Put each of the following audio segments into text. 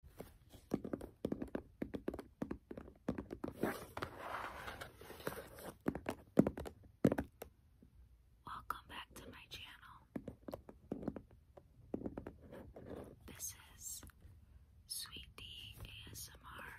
Welcome back to my channel. This is Sweet D ASMR.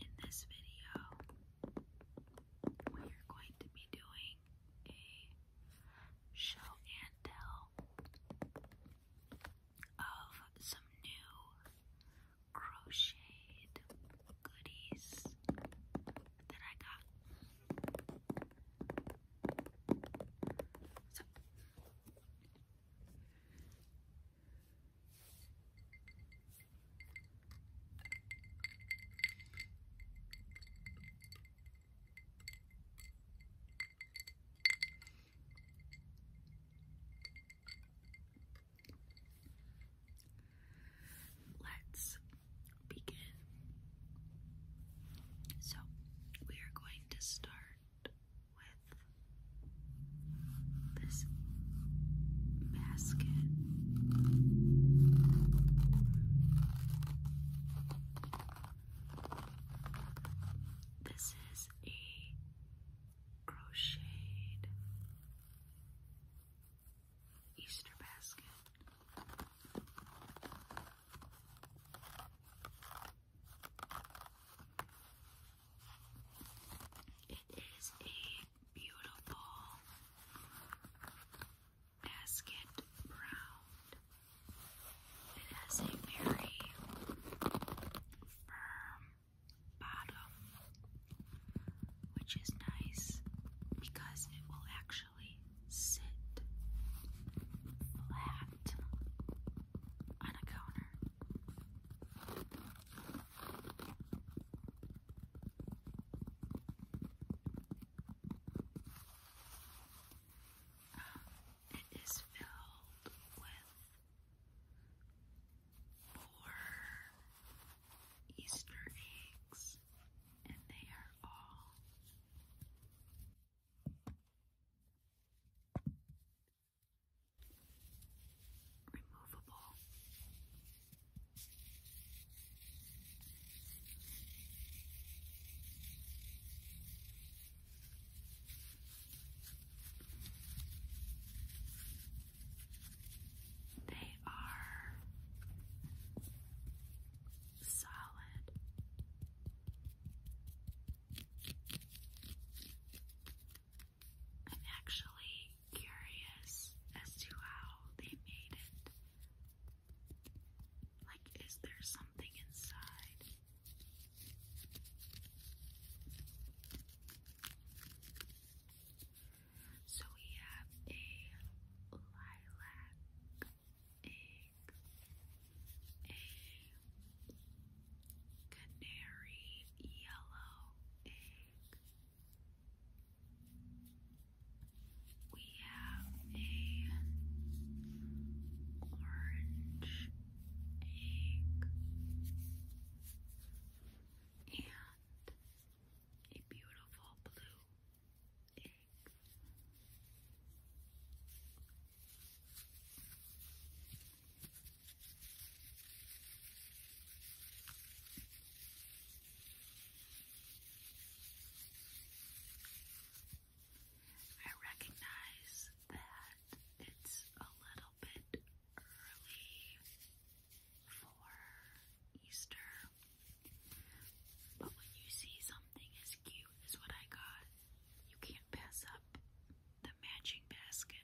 In this video, we are going to be doing a show and tell of some new crocheted goodies that I got. Let's begin. So, we are going to start with this basket. This is a crocheted Easter basket. It is a beautiful basket round it has a very firm bottom, which is nice because it will actually sit flat on a counter. It is filled with four Easter eggs, and they are all removable. They are solid. I'm actually curious as to how they made it like, is there something inside? So we have a lilac egg, a canary yellow egg we have a orange egg and a beautiful blue egg. I recognize that it's a little bit early for Easter, but when you see something as cute as what I got, you can't pass up the matching basket.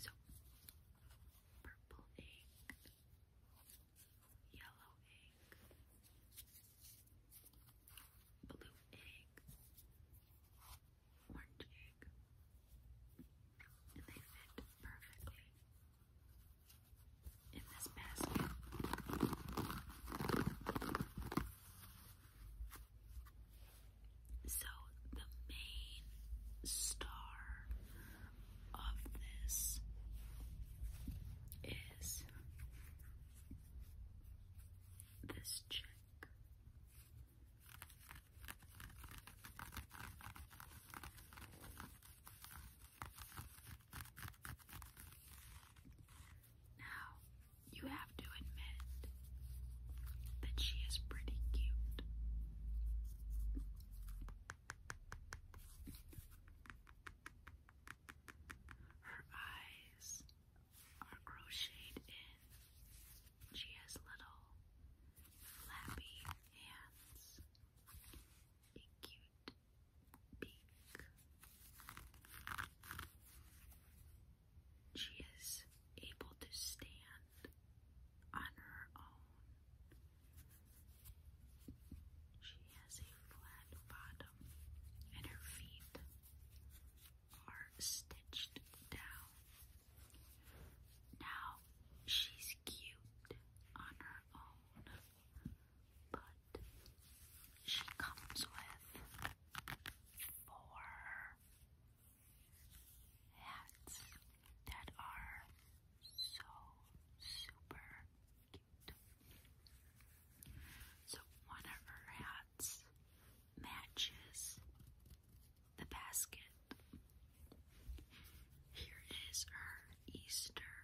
So, purple egg, yellow egg blue egg, orange egg, and they fit perfectly in this basket. So, the main star of this is this check. Now, you have to admit that she is pretty cute. Her eyes are crocheted in. She has little flappy hands, a cute beak. She is able to stand on her own she has a flat bottom, and her feet are stitched down. Now, she's cute on her own, but she comes with four hats that are so super so one of her hats matches the basket. Here is her Easter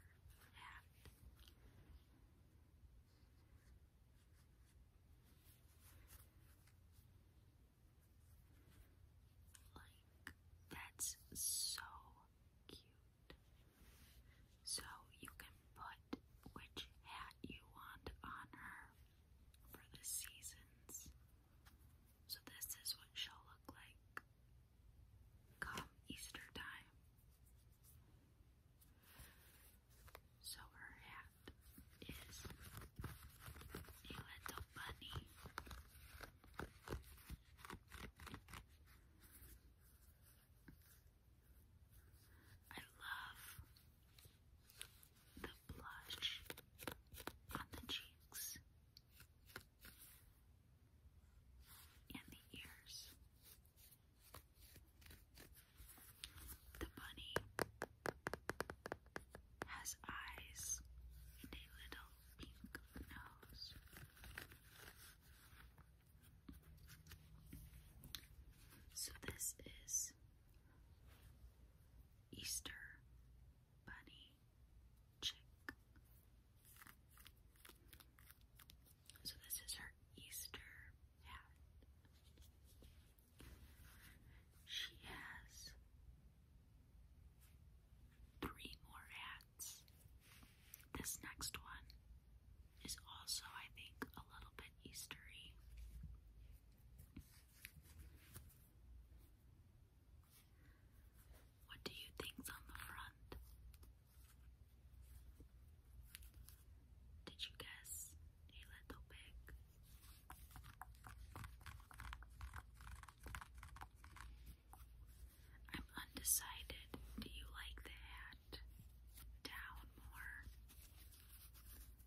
hat. Like, that's so cute. So you can put which hat you want on her for the seasons. So this is what she'll look like come Easter time. So her hat is a little bunny. I love the blush on the cheeks and the ears. The bunny has eyes and a little pink nose. So this is Easter Bunny Chick. So this is her Easter hat. She has three more hats. This next one is also, I think, a little bit Eastery. What do you think's on the front? Did you guess a little pig? I'm undecided. Do you like the hat? Down more.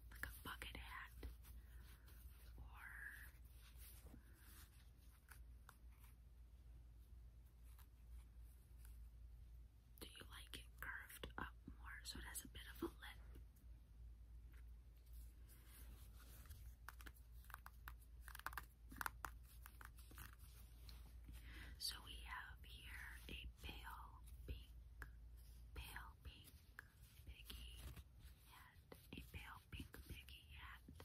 Like a bucket hat. Or do you like it curved up more so it has a bit of a lip? So we have here a pale pink, pale pink piggy hat, a pale pink piggy hat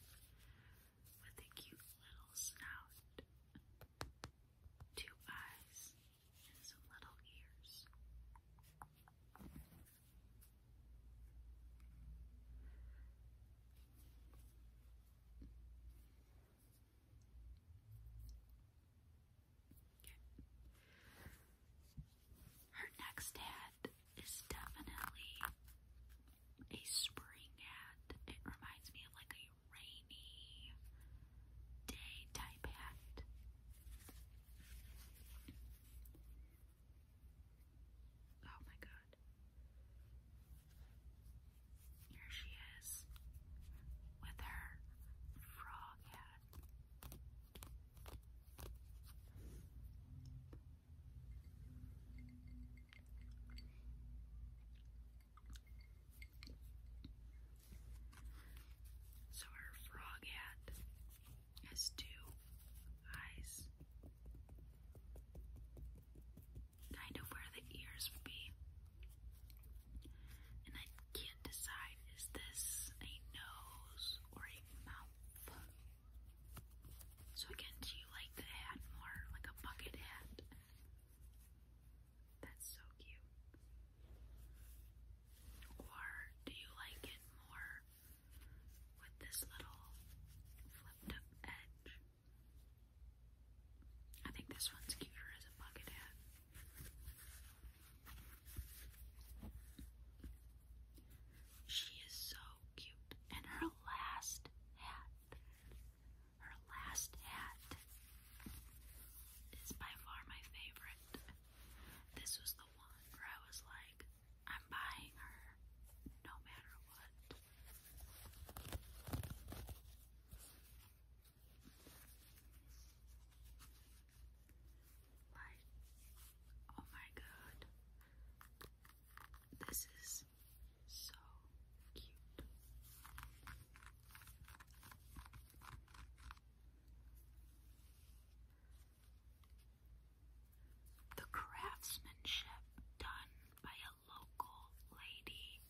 with a cute little snout, two eyes, and some little ears. Okay. Her next hat is definitely a spring hat. It reminds me of like a rainy day type hat. Oh my gosh. God. Here she is with her frog hat. So her frog hat has two eyes kind of where the ears would be. And I can't decide is this a nose or a mouth? So again, do you like the hat more? Like a bucket hat? That's so cute. Or do you like it more with this little flipped up edge? I think this one's cuter as a bucket hat. She is so cute. And her last hat, her last hat is by far my favorite. This was the one where I was like, I'm buying her no matter what. Like, oh my god, this is so cute. The craftsmanship done by a local lady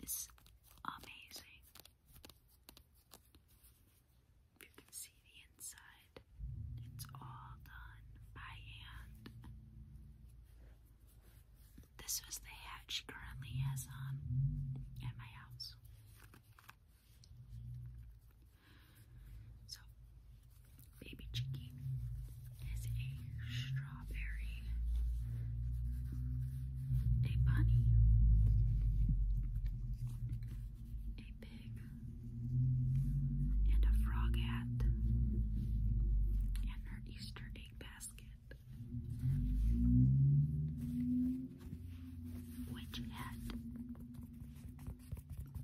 is amazing. If you can see the inside, it's all done by hand. This was the hat currently has on at my house. So Baby Chicky has a strawberry, a bunny, a pig, and a frog hat, and her Easter egg basket, which hat?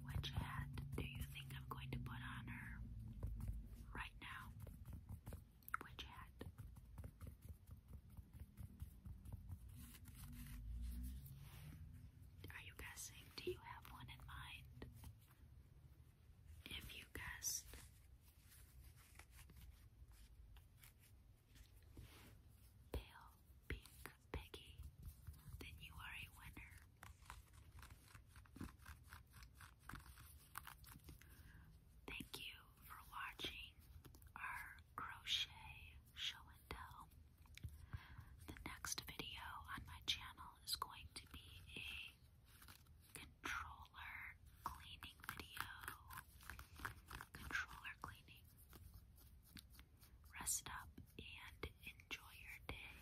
Which hat do you think I'm going to put on her? Right now. Which hat? Are you guessing? Do you have one in mind? If you guessed, pale pink piggy, then you are a winner. Thank you for watching our crochet show and tell. The next video on my channel is going to be a controller cleaning video. Controller cleaning. Rest up and enjoy your day.